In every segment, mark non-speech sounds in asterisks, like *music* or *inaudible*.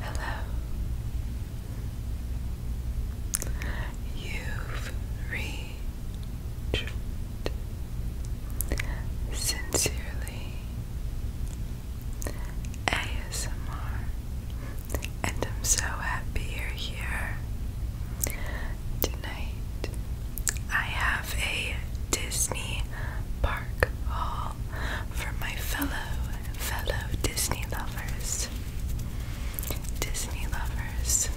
Hello. You've reached sincerely ASMR, and I'm so happy you're here. Tonight I have a Disney park haul for my fellow fellow Disney lovers. Disney lovers.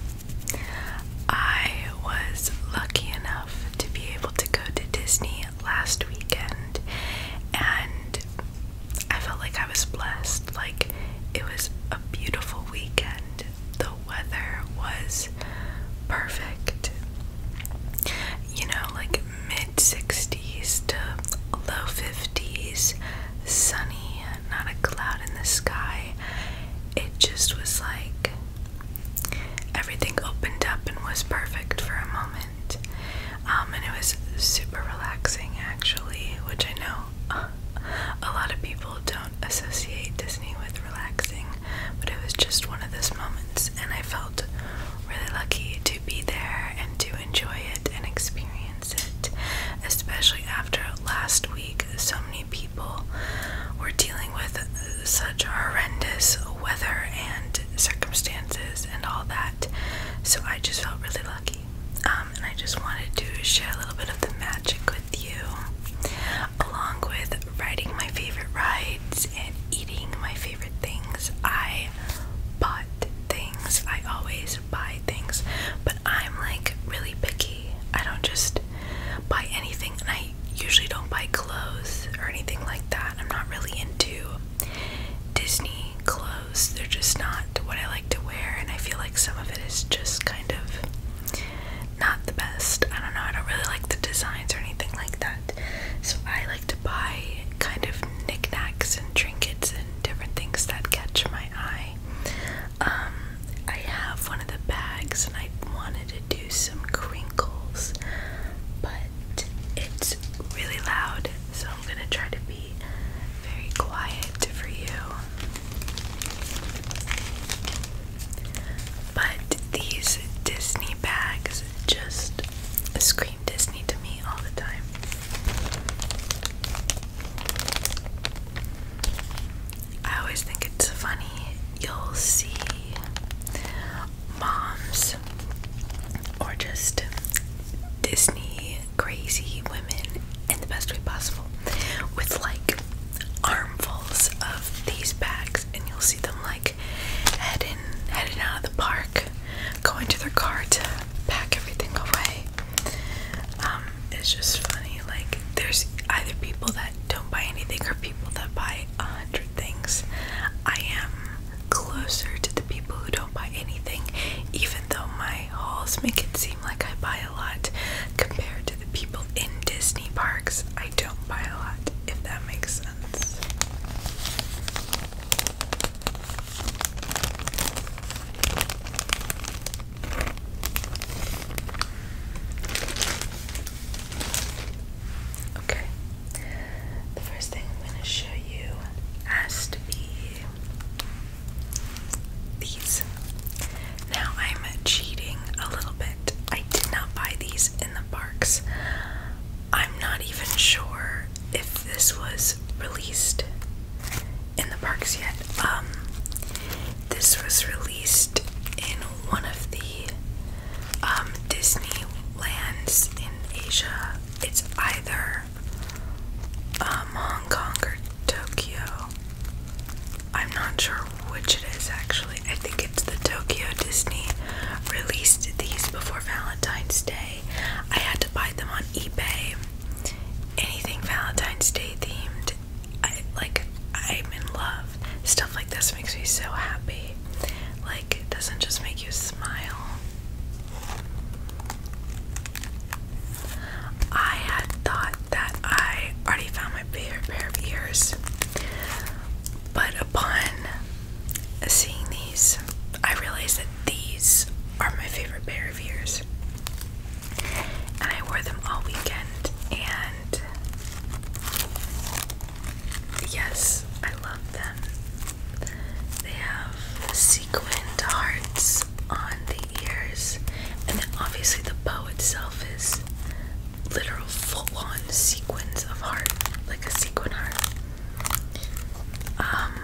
I was lucky enough to be able to go to Disney last weekend and I felt like I was blessed. Like it was a beautiful weekend. The weather was perfect. You know, like mid 60s to low 50s, sunny, not a cloud in the sky. It just was like everything opened up and was perfect for a moment. Um, and it was super relaxing, actually, which I know *laughs* a lot of people don't associate Disney with relaxing but it was just one of those moments, and I felt really lucky to be there and to enjoy it and experience it, especially after last week. So many people were dealing with such horrendous weather and circumstances and all that, so I just felt really lucky. Um, and I just wanted to share a little bit of the magic with you, along with riding my favorite rides and eating my favorite things. I bought things. I always buy things, but I'm like really picky. I don't just buy anything, and I usually don't buy clothes or anything like that. I'm not really into Disney clothes. They're just not what I like to wear, and I feel like some of it is just kind of not the best. I don't know, I don't really like the designs or anything like that. So I like to buy kind of knickknacks and trinkets and different things that catch my eye. Um, I have one of the bags and I wanted to do some crinkles, but it's really loud, so I'm gonna try to be very quiet for you. But these Disney bags just scream Disney to me all the time. I always think it's funny. You'll see moms or just Disney crazy women in the best way possible with like armfuls of these bags and you'll see them like heading heading out of the park going to their car to pack everything away um, it's just funny like there's either people that don't buy anything or people that buy a hundred things i am closer to the people who don't buy anything even though my hauls make it seem like i buy a lot compared to the people in Disney parks, I don't buy a lot, if that makes sense. Okay, the first thing I'm going to show you has to be these. Now I'm cheating a little bit I did not buy these in the parks. I'm not even sure if this was released in the parks yet. Um, this was released in one of the um, Disney lands in Asia. It's either um, Hong Kong or Tokyo. I'm not sure which it is actually. I think it's the Tokyo Disney released these before Valentine's Day. I had to buy them on eBay. Anything Valentine's Day themed, I like. I'm in love. Stuff like this makes me so happy. Like it doesn't just make you smile. I had thought that I already found my favorite pair of ears. But upon seeing these, I realized that these are my favorite pair of ears. And I wore them all weekend, and yes, I love them. They have sequined hearts on the ears, and then obviously the bow itself is literal full-on sequence of heart, like a sequin heart. Um,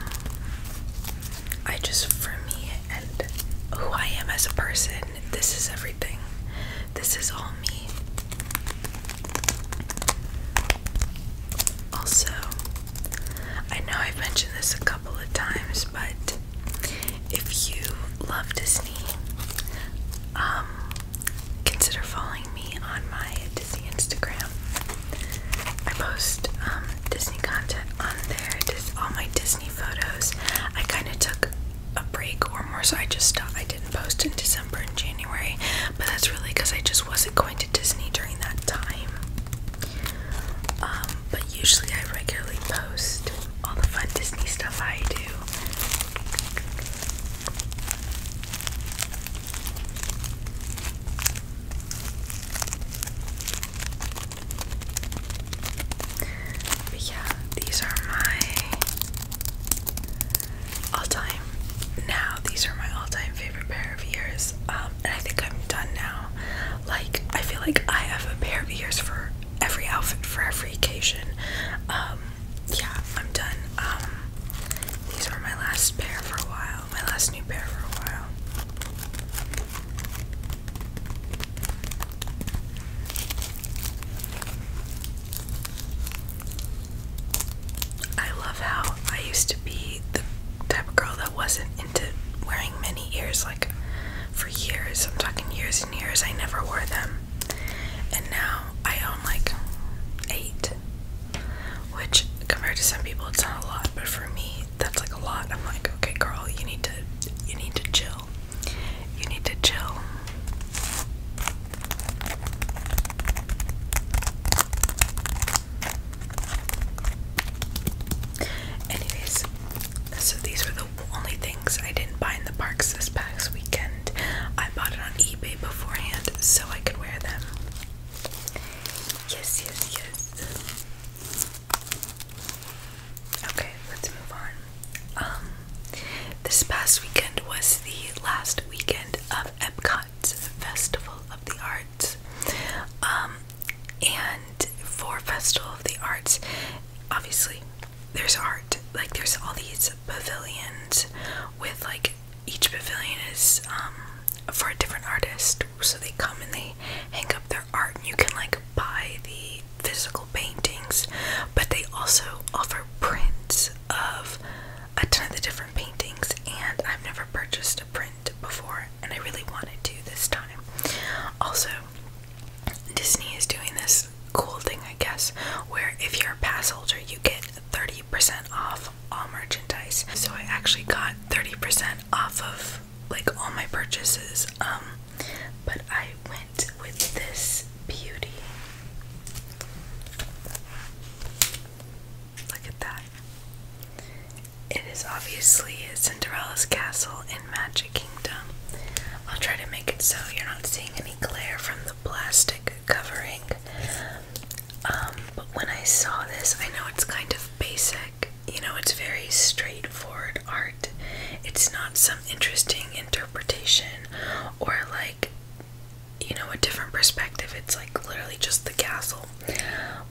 I just for me and who I am as a person, this is everything. This is all me. Also, I know I've mentioned this a couple of times, but if you love Disney, um, consider following me on my Disney Instagram. I post um, Disney content on there. all my Disney photos. I kind of took a break or more, so I just I didn't post in December and January, but that's really because I just wasn't going to Disney during that time. Um, but usually I regularly post all the fun Disney stuff I do yeah, these are my all-time now. These are my all-time favorite pair of ears. Um, and I think I'm done now. Like I feel like I have a pair of ears for every outfit for every occasion. Um, yeah, I'm done. Um, these were my last pair for a while, my last new pair for a while. I love how I used to be the type of girl that wasn't into wearing many ears like for years. I'm talking years years I never wore them. And now I own like eight. Which compared to some people it's not a lot, but for me that's like a lot. I'm like, okay girl, you need to you need to chill. You need to chill. Anyways, so these were the only things I didn't buy in the parks this past weekend. I bought it on eBay beforehand so I could wear them. Yes, yes, yes. Okay, let's move on. Um, this past weekend was the last weekend of Epcot's Festival of the Arts. Um, and for Festival of the Arts, obviously there's art like there's all these pavilions with like each pavilion is um, for a different artist so they come and they hang up their art and you can like buy the physical paintings but they also offer prints of a ton of the different paintings and I've never purchased a print before and I really wanted to this time also Disney is doing this cool thing, I guess, where if you're a pass holder, you get 30% off all merchandise. So I actually got 30% off of like all my purchases. Um, but I went with this beauty. Look at that. It is obviously a Cinderella's castle in magic. Kingdom. I'll try to make it so you're not seeing any glare from the plastic covering. Um, but when I saw this, I know it's kind of basic. You know, it's very straightforward art. It's not some interesting interpretation or like, you know, a different perspective. It's like literally just the castle.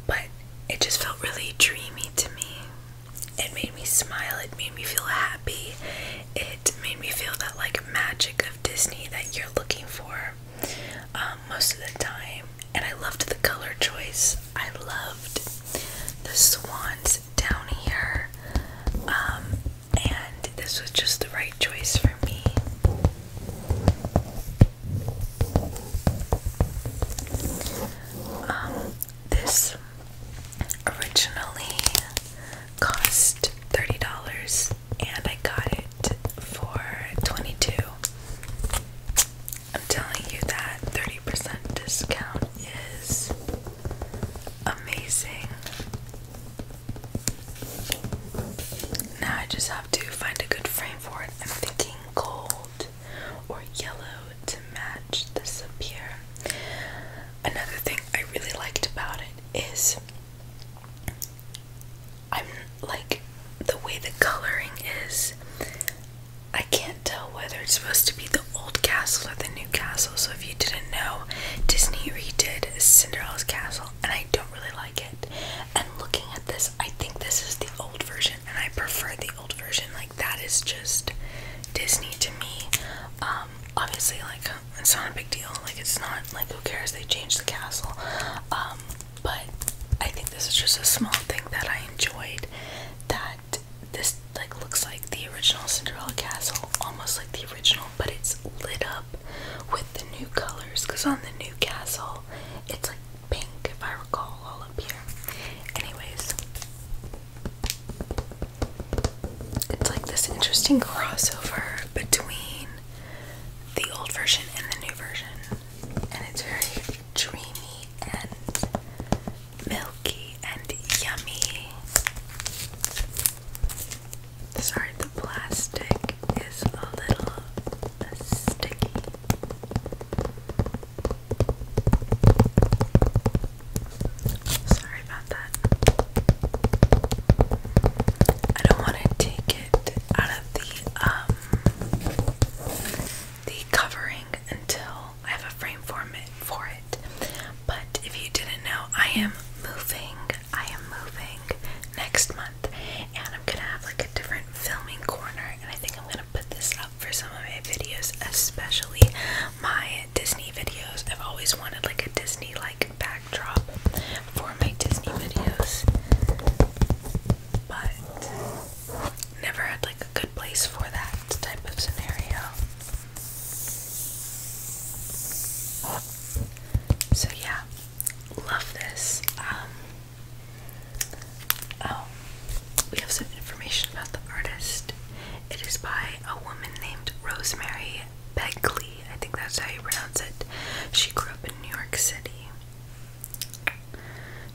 But it just felt really dreamy to me. It made me smile, it made me feel happy, it made me feel that like magic of Disney that you're looking for um, most of the time. And I loved the color choice, I loved the swans down here, um, and this was just the right choice for me. Um, this originally cost $30 and I got it for 22 I'm telling you that 30% discount is amazing. Now I just have to find a good frame for it. I'm thinking gold or yellow to match the sapphire. Another thing I really liked about it is I'm like the way the coloring is. I can't tell whether it's supposed to be the old castle or the new castle. So if you didn't know, Disney redid Cinderella's castle, and I don't really like it. And looking at this, I think this is the old version, and I prefer the old version. Like that is just Disney to me. Um, obviously, like it's not a big deal. Like it's not like who cares? They changed the castle. Um, but I think this is just a small thing that I enjoyed. That this like looks like the original Cinderella castle, almost like the original, but it's lit up with the new colors. Cause on the new castle, it's like pink if I recall all up here. Anyways, it's like this interesting crossover between the old version and the new version, and it's very dreamy and milky and yummy. Sorry, the plastic is a little sticky. Sorry about that. I don't want to take it out of the um the covering until I have a frame for it. But if you didn't know, I am moving. I am moving next month and I'm gonna have like a different filming corner and I think I'm gonna put this up for some of my videos, especially my Disney videos. I've always wanted like a Disney like backdrop for my Disney videos, but never had like a good place for that type of scenario. So yeah, love this. Um, Oh, we have some information about the artist. It is by a woman named Rosemary Begley. I think that's how you pronounce it. She grew up in New York City.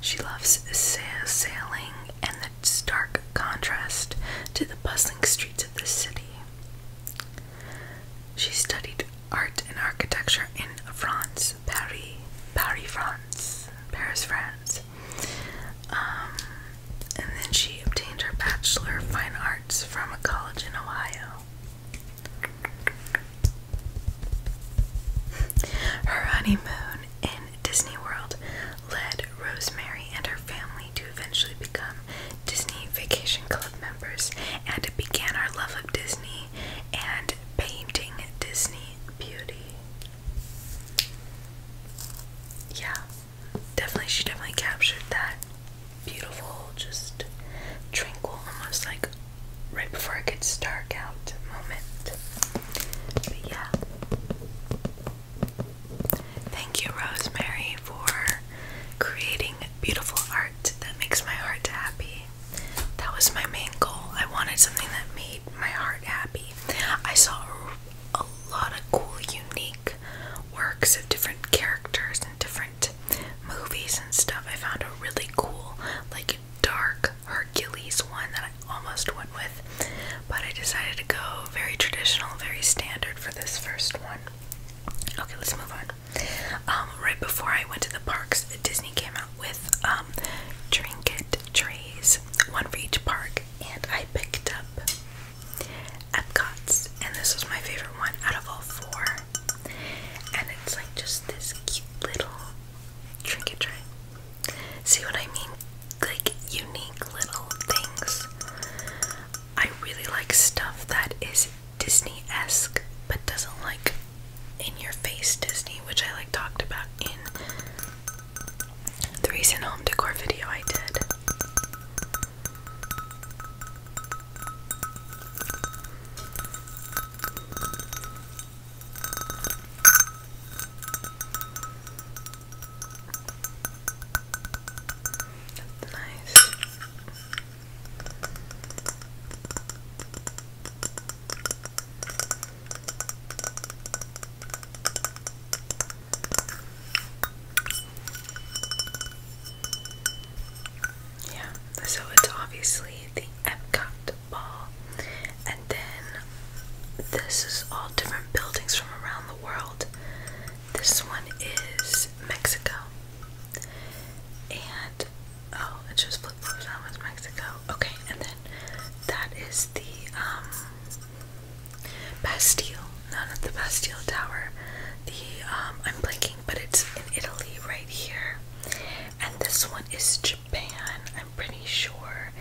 She loves sailing and the stark contrast to the bustling streets of the city. She studied art and architecture in France, Paris, Paris, France, Paris, France, um, and then she obtained her Bachelor of Fine Arts from a college in Ohio. Her honeymoon in Disney World led Rosemary and her family to eventually become Disney Vacation Club members, and it began our love of Disney and painting Disney beauty yeah, definitely, she definitely captured that beautiful, just tranquil, almost like right before it gets dark out moment. But yeah. Thank you, Rosemary, for creating beautiful art that makes my heart happy. That was my main goal. I wanted something that made my heart happy. I saw a lot of cool, unique works of different characters and different movies and stuff. I found a really cool, like dark Hercules one that I almost went with, but I decided to go very traditional, very standard for this first one. Okay, let's move on. Um, right before I went to the parks, Disney came out with um, trinket trays, one for each park, and I picked up Epcot's, and this was my favorite one out of all four. And it's like just this cute little trinket tray. See what I mean? Like unique little things. I really like stuff that is Disney esque but doesn't like in your face Disney, which I like talked about in the recent home decor video I did. That's nice. Yeah, so it's obviously the Epcot ball, and then this is all different buildings from around the world. This one is Mexico, and Oh, it shows flip flops. That was Mexico. Okay, and then that is the um Bastille. No, not the Bastille Tower. The um I'm blinking, but it's in Italy right here. And this one is Japan, I'm pretty sure.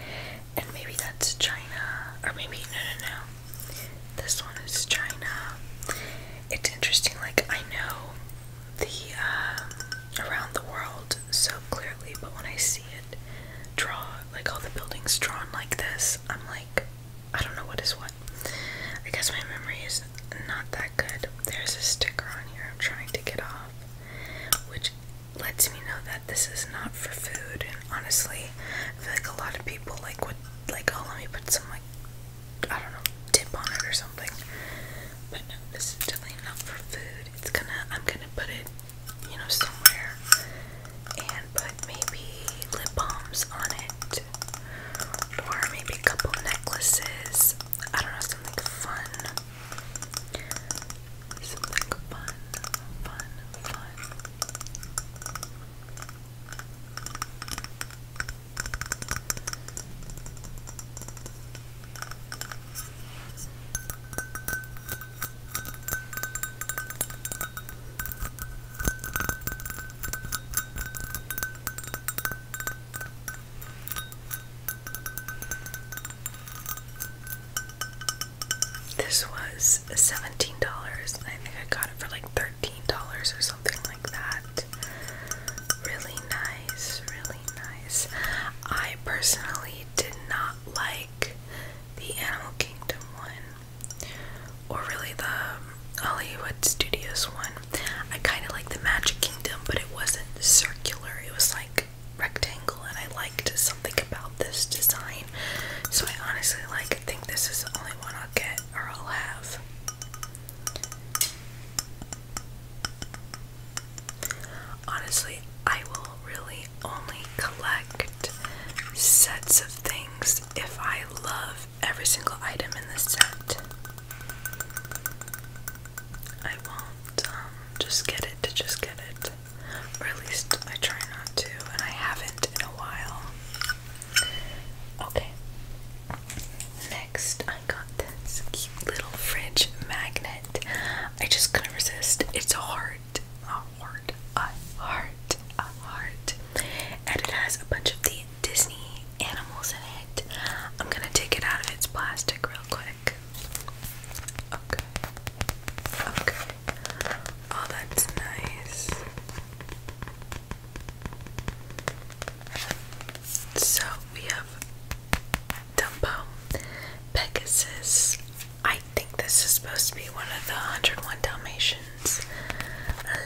And maybe that's China. Or maybe no no no. This one is China. It's interesting, like I know the uh, around the world so clearly, but when I see it draw like all the buildings drawn like this, I'm like, I don't know what is what. I guess my memory is not that good. There's a sticker on here I'm trying to get off, which lets me know that this is not for food. honestly, I feel like a lot of people like would like, oh, let me put some like I don't know, tip on it or something. But no, this is definitely not for food. It's gonna, I'm gonna put it, you know, somewhere and put maybe lip balms on it or maybe a couple necklaces. I don't know, something fun. Something fun, fun, fun. This was $17. I think I got it for like $13 or something like that. Really nice, really nice. I personally did not like the Animal Kingdom one, or really the Hollywood Studios one. I kind of like the Magic Kingdom, but it wasn't circular, it was like rectangle, and I liked something about this design. So I honestly like I think this is the only one I'll get or I'll have. Honestly, I will really only collect sets of things if I love every single item in the set. I won't um, just get it to just get it. at least I try not to, and I haven't in a while. Okay. Next, I got this cute little fridge magnet. I just couldn't resist. It's a heart, a heart, a heart, a heart. And it has a bunch of the Disney animals in it. I'm gonna take it out of its plastic real quick. Okay. Okay. Oh, that's nice. So we have Dumbo, Pegasus. I think this is supposed to be one of the 101 Dalmatians.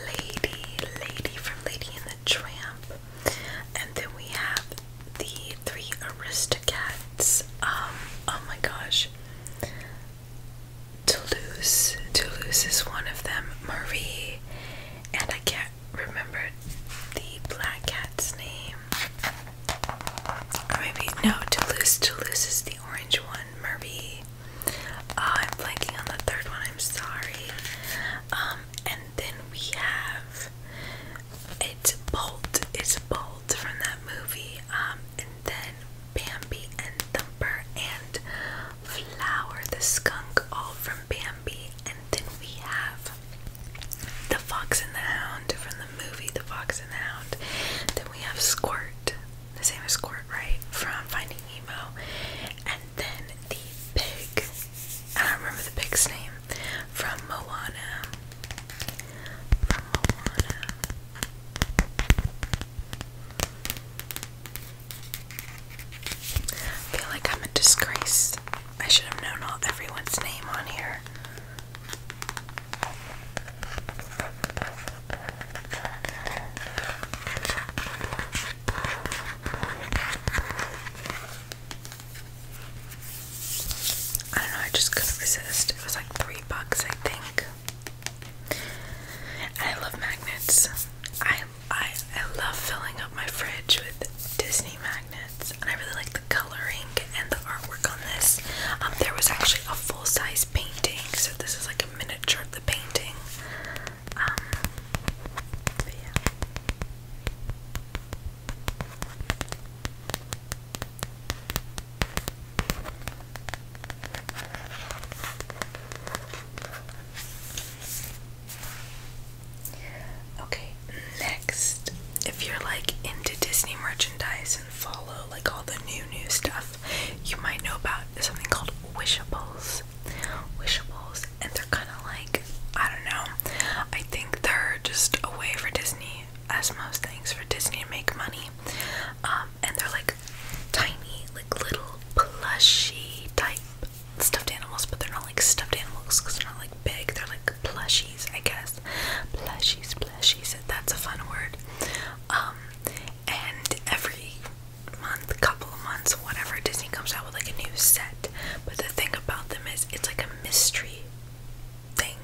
lady, lady from Lady and the Tramp. And then we have the three Aristocats. Um, oh my gosh. Toulouse. Toulouse is one of them. Marie. And I can't Remember the black cat's name. maybe, no, Toulouse. Toulouse is the orange one. Murby. Uh, I'm blanking on the third one. I'm sorry. Um, and then we have it's Bolt. It's Bolt from that movie. Um, and then Bambi and Thumper and Flower the skunk, all from from and then we have the Fox and the Hound from the movie The Fox and the Hound. Then we have Squirt, the same as Squirt, right? From Finding Nemo. And then the pig. I don't remember the pig's name. From Moana. From Moana. I feel like I'm a disgrace I should have known all everyone's name on here. I just couldn't resist. It was like three bucks, I think. And I love magnets. I I I love filling up my fridge with Disney magnets, and I really like the coloring and the artwork on this. Um, there was actually a full-size painting, so this is like a miniature of the painting. Um, Okay, next, if you're like into Disney merchandise and follow like all the new new stuff, you might know about something called Wishables. Wishables, and they're kind of like I don't know. I think they're just a way for Disney, as most things for Disney, to make money. Um, and they're like tiny, like little plushy type stuffed animals, but they're not like stuffed animals because they're not like big. They're like plushies, I guess. Plushies, plushies. That's a fun word. Um, and every month, couple of months, whatever, Disney comes out with like a new set. But the thing about them is, it's like a mystery thing.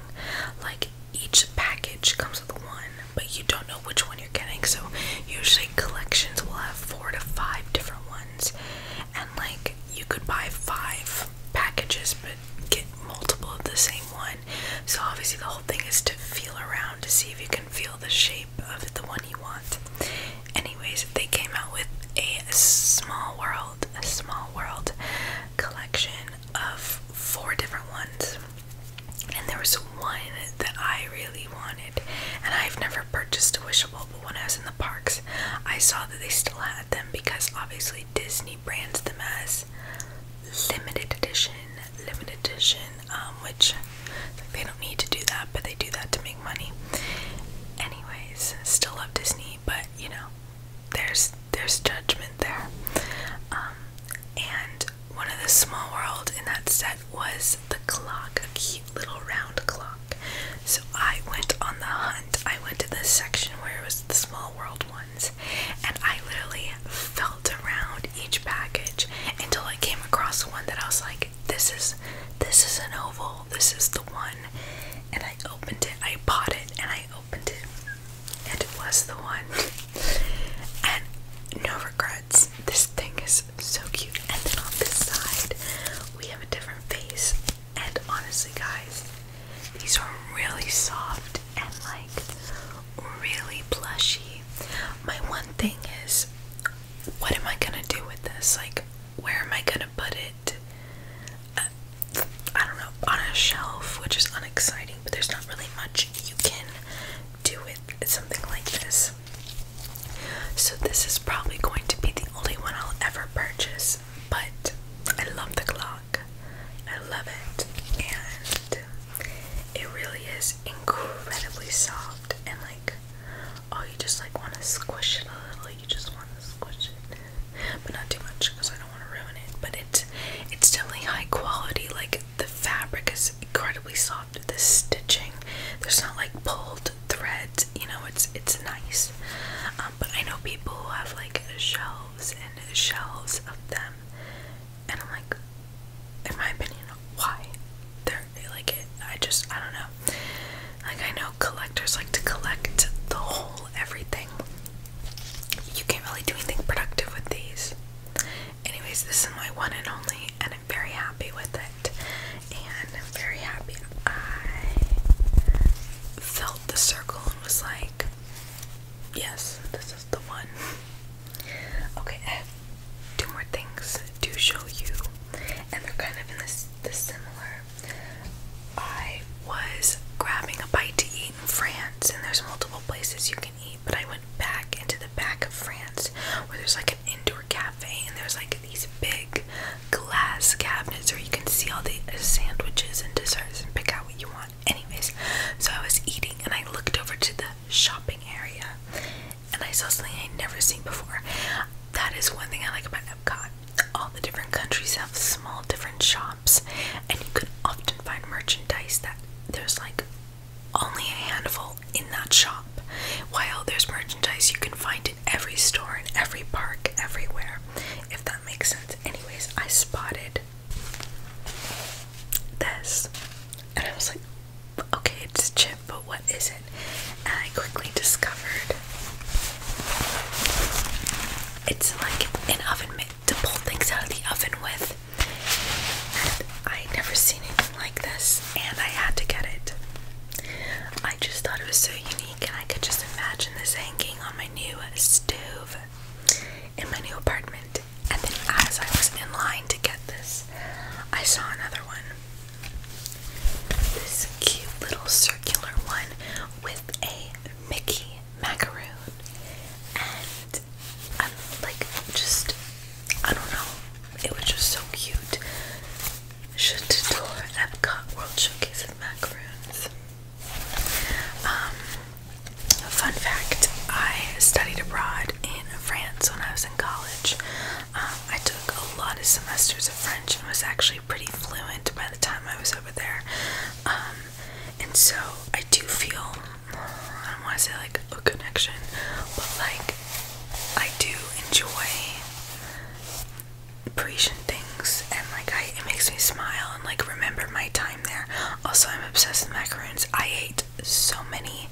Like each package comes with one, but you don't know which one you're getting. So usually collections will have four to five different ones and like you could buy five packages but get multiple of the same one. So, obviously, the whole thing is to feel around to see if you can feel the shape of the one you want. Anyways, they came out with a small world, a small world collection of four different ones. And there was one that I really wanted, and I've never purchased a Wishable available when I was in the parks. I saw that they still had them because obviously Disney brands them as limited edition, limited edition, um, which they don't need to do that, but they do that to make money. Anyways, still love Disney, but you know, there's there's judgment there. Um, and one of the small world in that set was the clock, a, little round clock. So I went on the hunt. I went to the section where it was the small world ones, and I literally felt around each package until I came across one that I was like, this is this is an oval, this is the one. And I opened it, I bought it, and I opened it, and it was the one. and no regrets. This thing is so cute. And then on this side, we have a different face. And honestly, guys, these are really soft and like really plushy. My one thing is, what am I gonna do with this? Like, where am I gonna put it? Uh, I don't know, on a shelf, which is unexciting, but there's not really much you can do with something like this. So this is probably going to be the only one I'll ever purchase, but I love the clock. I love it. And it really is incredibly soft and like oh you just like want to squish it a little. You just want to squish it. But not too much because I don't want to ruin it. But it's it's definitely high quality. Like the fabric is incredibly soft. The stitching, there's not like pulled threads. You know, it's it's nice. Um, but I know people who have like shelves and shelves of them, and I'm like, in my opinion, why? They're they like it. I just I don't know. Like I know collectors like to collect the whole everything. You can't really do anything productive with these. Anyways, this is my one and only, and I'm very happy with it and I'm very happy. I felt the circle and was like, yes, this is the one. Okay, I have two more things to show you, and they're kind of in this, this similar. I was grabbing a bite to eat in France, and there's multiple places you can eat, but I went back into the back of France where there's like like an indoor cafe, and there's like these big glass cabinets where you can see all the sandwiches and desserts and pick out what you want. Anyways, so I was eating and I looked over to the shopping area and I saw something I'd never seen before. That is one thing I like about Epcot. All the different countries have small different shops, and you can often find merchandise that there's like only a handful in that shop. While there's merchandise you can find in every store, in every park, everywhere, if that makes sense. Anyways, I spotted this and I was like, okay, it's a chip, but what is it? And I quickly discovered it's like an oven mitt to pull things out of the oven with. And I never seen it like this, and I had to get it. I just thought it was so unique, and I could just imagine this hanging on my new stove in my new apartment. And then, as I was in line to get this, I saw another one. This cute little circular one with a Mickey macaroon and I'm like just I don't know. It was just so cute. Should tour Epcot World Showcase of Macaroons. Um, fun fact: I studied abroad in France when I was in college. Um, I took a lot of semesters of French and was actually pretty fluent by the time I was over there. Um, and so I do feel I don't want to say like a connection, but like I do enjoy Parisian things and like it makes me smile and like remember my time there. Also I'm obsessed with macaroons. I ate so many,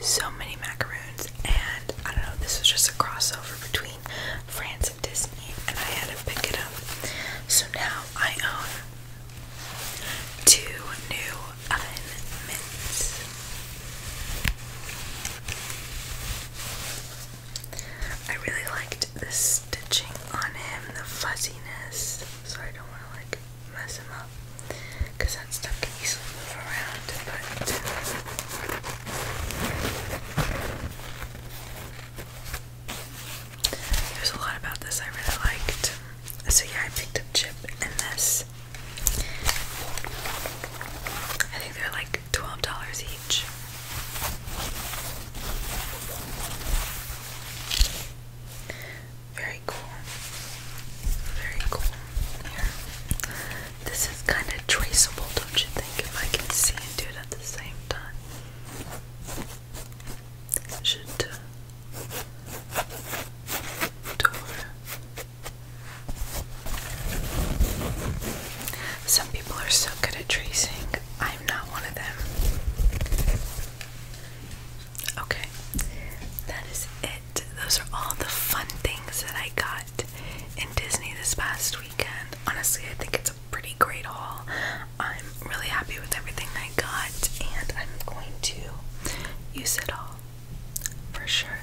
so many macaroons and I don't know, this was just a crossover between France and Disney and I had to pick it up. So now I own two new I really liked the stitching on him, the fuzziness, so I don't want to like mess him up because that stuff can easily move around. But uh, there's a lot about this I really liked. So yeah, I picked up Chip and this. I think they're like $12 each. Very cool. Very cool. Here. This is kind of traceable, don't you think? If I can see and do it at the same time. Should uh, door some people are so good at tracing. I'm not one of them. Okay, that is it. Those are all the fun things that I got in Disney this past weekend. Honestly, I think it's a pretty great haul. I'm really happy with everything I got, and I'm going to use it all for sure.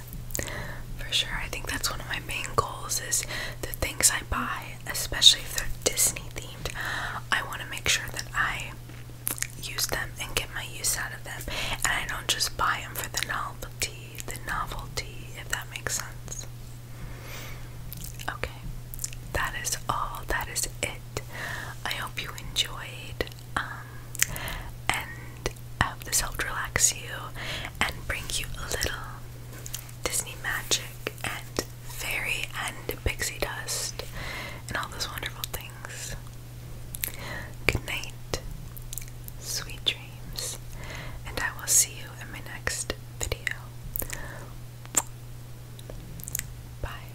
For sure. I think that's one of my main goals is the things I buy, especially if they're Disney themed, I want to make sure that I use them and get my use out of them. And I don't just buy them for the novelty, the novelty, if that makes sense. Okay. That is all. That is it. I hope you enjoyed. Um, um, and have this helped relax you and bring you a little Disney magic and fairy and pixie dust and all those wonderful things. Good night, sweet dreams, and I will see you in my next video. Bye.